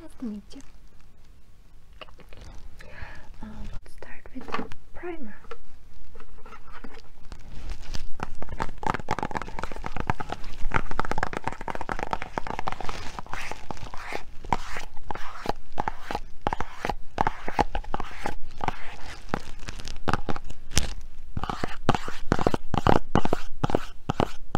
Let's meet you. Uh, start with primer.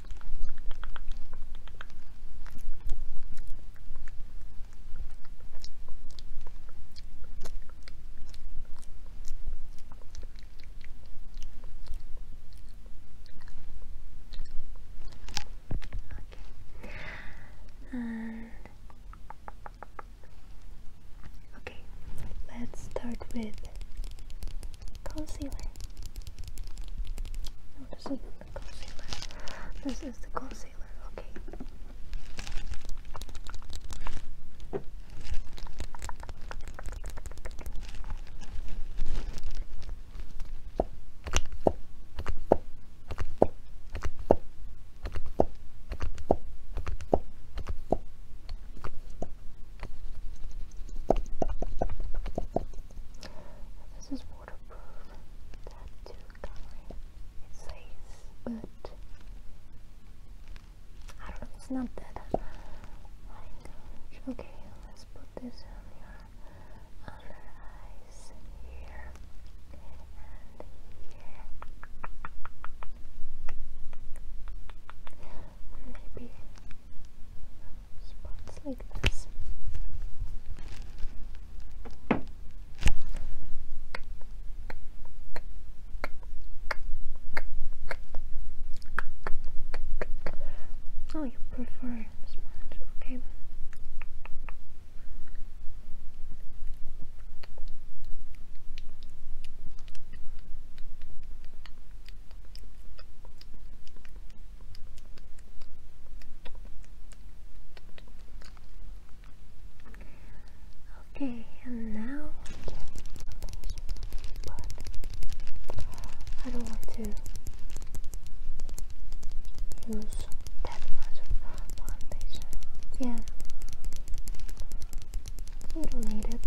Okay. And okay, let's start with concealer. this is the concealer. This is the concealer, Okay, this is waterproof. That too coloring. It says, but I don't know. It's not that. okay, let's put this on your under eyes here and here maybe spots like this. Oh, you prefer sponge, okay. Okay, and now I don't want to use that much foundation Yeah. You don't need it.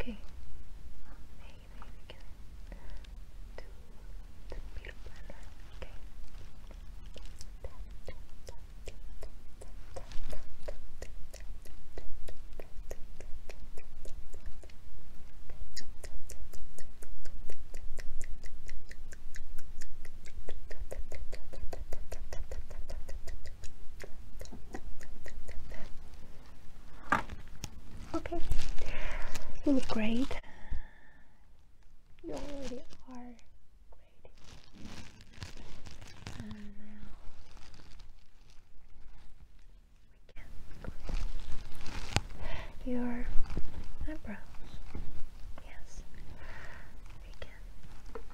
Okay. Maybe we can do the Peter Pan. Okay. Okay, you look great. You already are great. And now we can clean your eyebrows. Yes, we can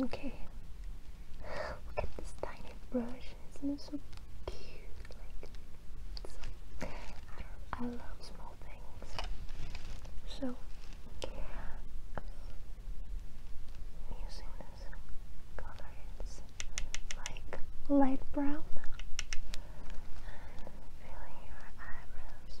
Okay. Look at this tiny brush. is so cute? Like, I, love small things. So, I'm using this color. like light brown feeling your eyebrows.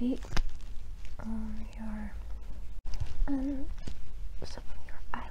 Maybe on your um some of your eyelash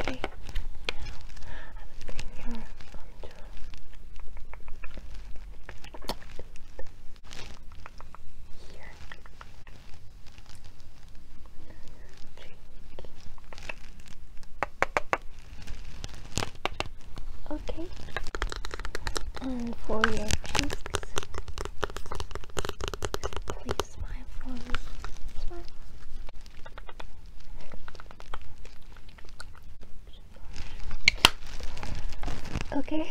Okay, now I'm going to your contour. Here. Drink. Okay. And for your cheeks, please smile for me. Smile. Okay,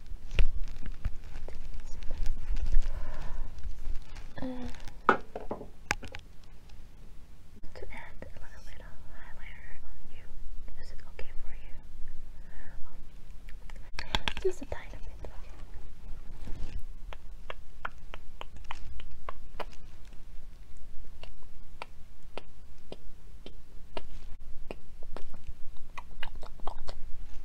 Uh, to add a little highlighter on you, is it okay for you? Just a tiny bit,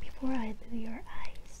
Before I do your eyes,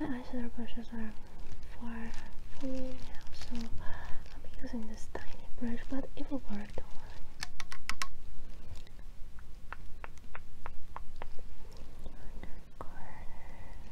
My eyeshadow brushes are far from me so I'm using this tiny brush, but it will work, Corner.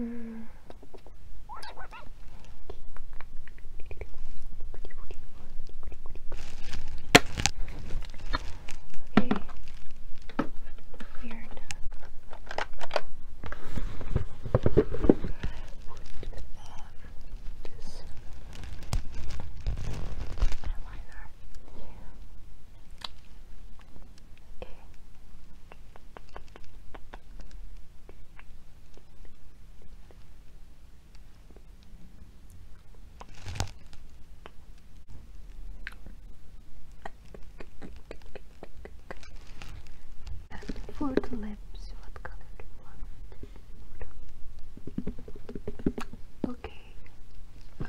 Mm. Okay. Weird. Put this eyeliner. Okay. And for the lips, what color do you want? Okay. Um,